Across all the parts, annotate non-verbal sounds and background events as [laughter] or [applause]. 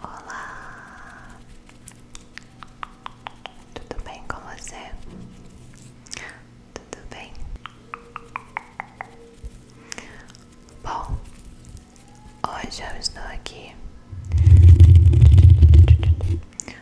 Olá, tudo bem com você? Tudo bem? Bom, hoje eu estou aqui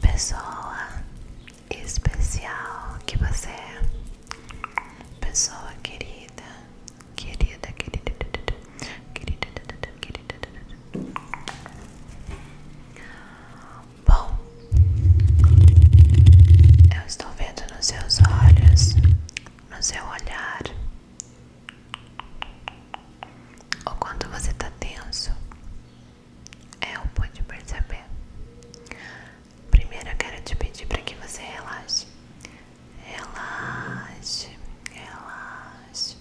pessoa especial que você é, pessoa querida, querida, querida, querida, querida, querida. Bom, eu estou vendo nos seus olhos, no seu olhar, o quanto você está tenso. É, o pode perceber. Primeiro eu quero te pedir para que você relaxe. Relaxe, relaxe,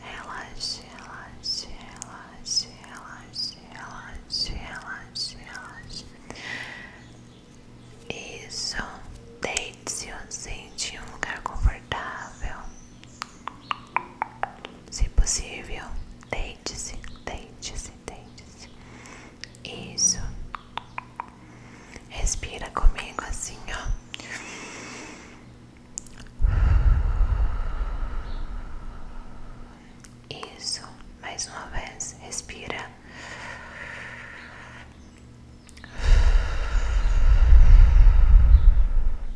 relaxe, relaxe, relaxe, relaxe, relaxe, relaxe, Isso, deite-se ou sente em um lugar confortável. Se possível, deite-se, deite-se, deite-se. Isso. Respira comigo assim, ó. Isso, mais uma vez, respira.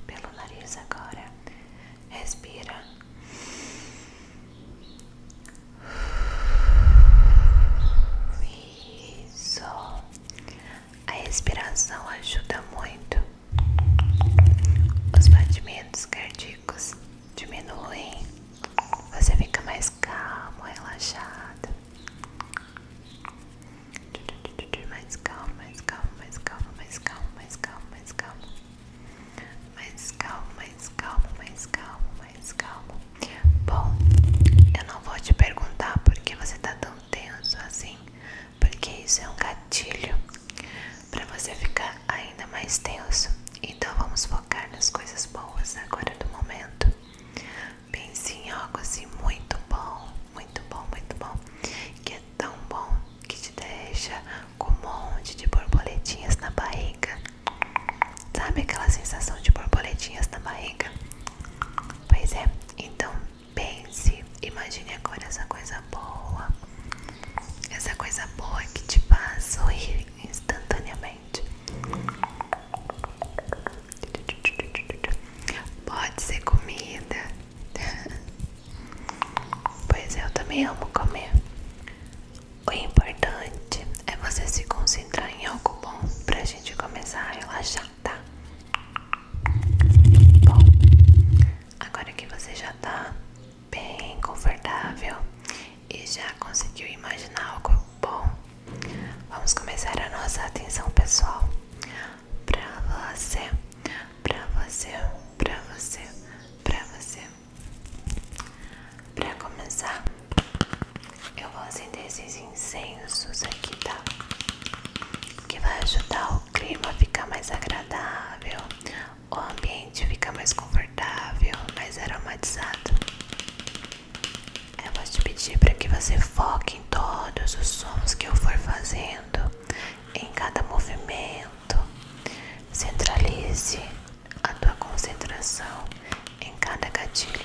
Pelo nariz agora. Respira. Isso. A respiração ajuda muito. Os batimentos cardíacos diminuem. Você fica mais calmo, relaxado. Mais calmo, mais calmo, mais calmo, mais calmo, mais calmo, mais calmo. Mais calmo, mais calmo, mais calmo, mais calmo. Bom, eu não vou te perguntar por que você tá tão tenso assim, porque isso é um gatilho para você ficar ainda mais tenso. Então vamos focar nas coisas boas agora do momento. Pense em algo assim muito bom, muito bom, muito bom tão bom que te deixa com um monte de borboletinhas na barriga. Sabe aquela sensação de borboletinhas na barriga? Pois é, então pense, imagine agora essa coisa boa, essa coisa boa que te faz sorrir instantaneamente. Pode ser comida, [laughs] pois eu também amo comer. O importante é você se concentrar em algo bom para a gente começar a relaxar, tá? Bom, agora que você já está bem confortável e já conseguiu imaginar algo bom, vamos começar a nossa atenção pessoal pra você, pra você, pra você, pra você. Pra começar, eu vou acender esses incensos aqui, tá? Que vai ajudar o clima a ficar mais agradável, o ambiente fica mais confortável, mais aromatizado. Eu vou te pedir para que você foque em todos os sons que eu for fazendo em cada movimento, centralize a tua concentração em cada gatilho.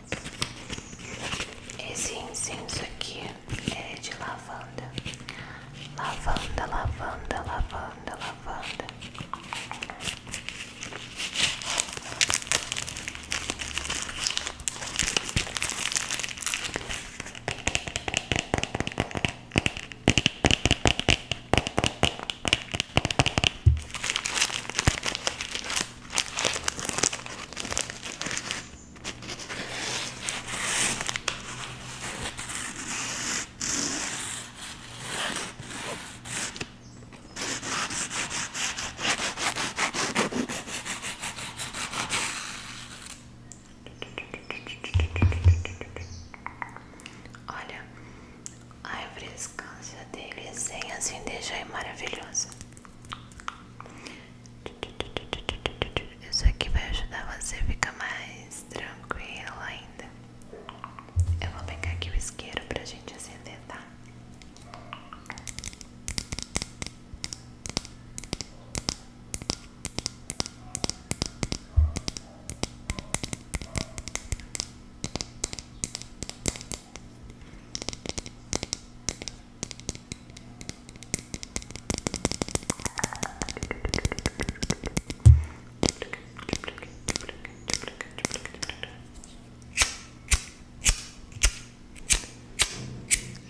Esse incenso aqui é de lavanda. Lavanda, lavanda, lavanda, lavanda. Olha, a refrescância dele sem assim deixa aí é maravilhosa. Isso aqui vai ajudar você a ficar mais tranquila ainda. Eu vou pegar aqui o isqueiro pra gente acender, tá?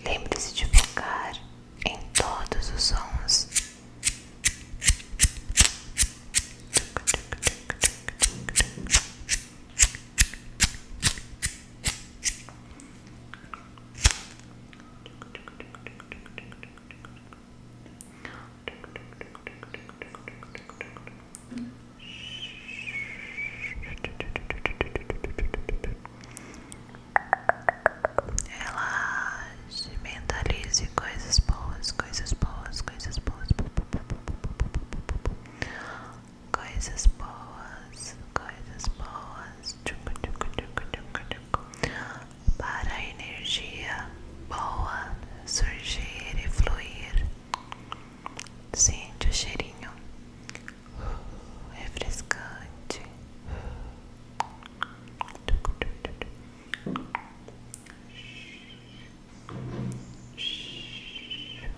Lembre-se de focar em todos os sons. Relaxe, mentalize coisas boas, coisas boas, coisas boas coisas boas, coisas boas tchucu, tchucu, tchucu, tchucu, tchucu. para a energia boa surgir e fluir. Sente o cheirinho uh, refrescante. Tchucu, tchucu, tchucu.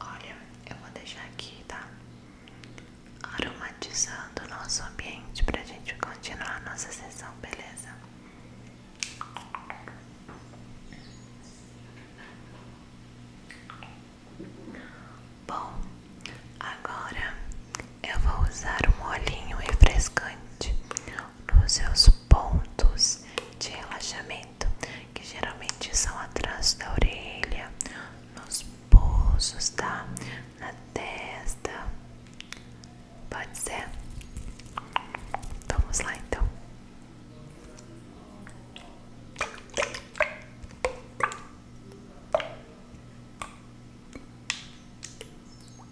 Olha, eu vou deixar aqui, tá? Aromatizando o nosso ambiente para a gente continuar nossa sessão, beleza? Bom, agora eu vou usar um olhinho refrescante nos seus pontos de relaxamento, que geralmente são atrás da orelha, nos pulsos, tá? Na testa. Pode ser? Vamos lá então.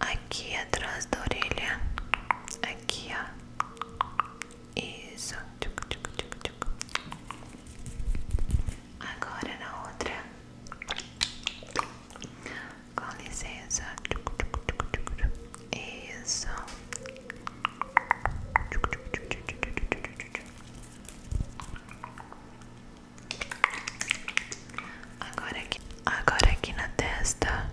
aqui atrás da orelha, aqui ó, isso, agora na outra, com licença, isso. Agora aqui, agora aqui na testa.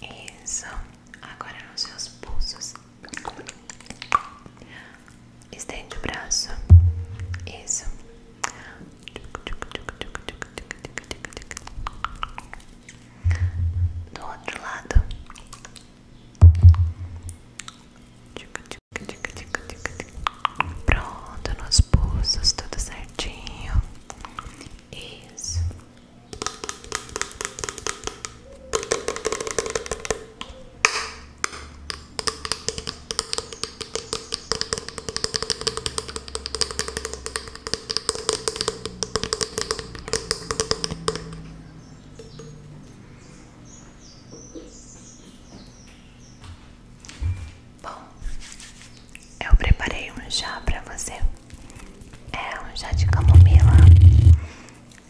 Isso. Agora nos seus pulsos. Estende o braço. Isso do outro lado. Pronto, nos pulsos, tudo certinho. Isso. Bom, eu preparei um chá para você. É um chá de camomila.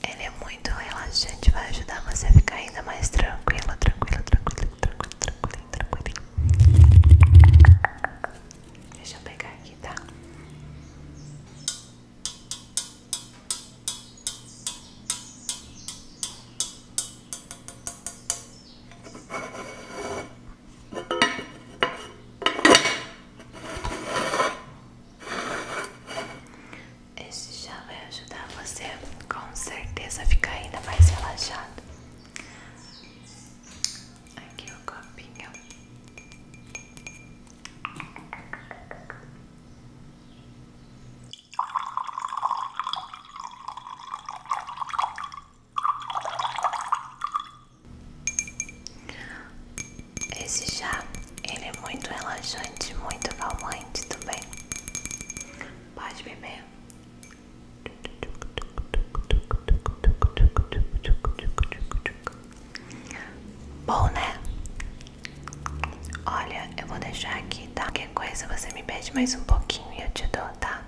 Ele é muito relaxante, vai ajudar você a ficar ainda mais tranquila, tranquila, tranquila, tranquila, tranquila, tranquila. tranquila. Deixa eu pegar aqui, tá? Esse já vai ajudar você com certeza a ficar ainda mais relaxado. Aqui o copinho. Esse chá, ele é muito relaxante, muito calmante também. Pode beber é. Bom, né? Olha, eu vou deixar aqui, tá? Qualquer coisa você me pede mais um pouquinho e eu te dou, tá?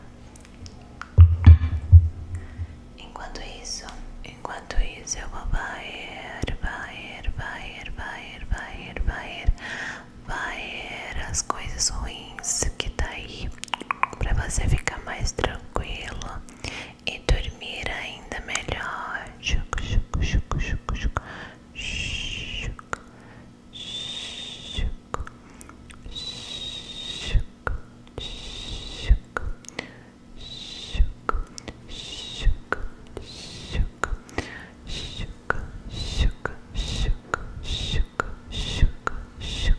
Enquanto isso, enquanto isso eu vou baer, baer, baer, baer, baer, baer, baer as coisas ruins que tá aí para você ficar mais tranquilo e dormir ainda melhor. Chuc, chuc, chuc, chuc, chuc. Chuc, chuc, chuc, chuc, chuc, chuc, chuc,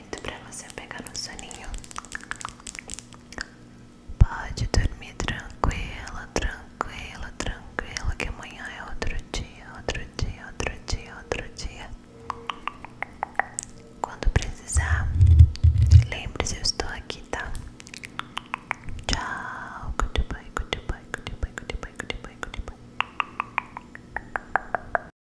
para você pegar no soninho. Pode dormir tranquila, tranquila, tranquila, que amanhã é outro dia, outro dia, outro dia, outro dia. Quando precisar, lembre-se, eu estou aqui, tá? Tchau, goodbye, goodbye, goodbye, goodbye, goodbye, goodbye.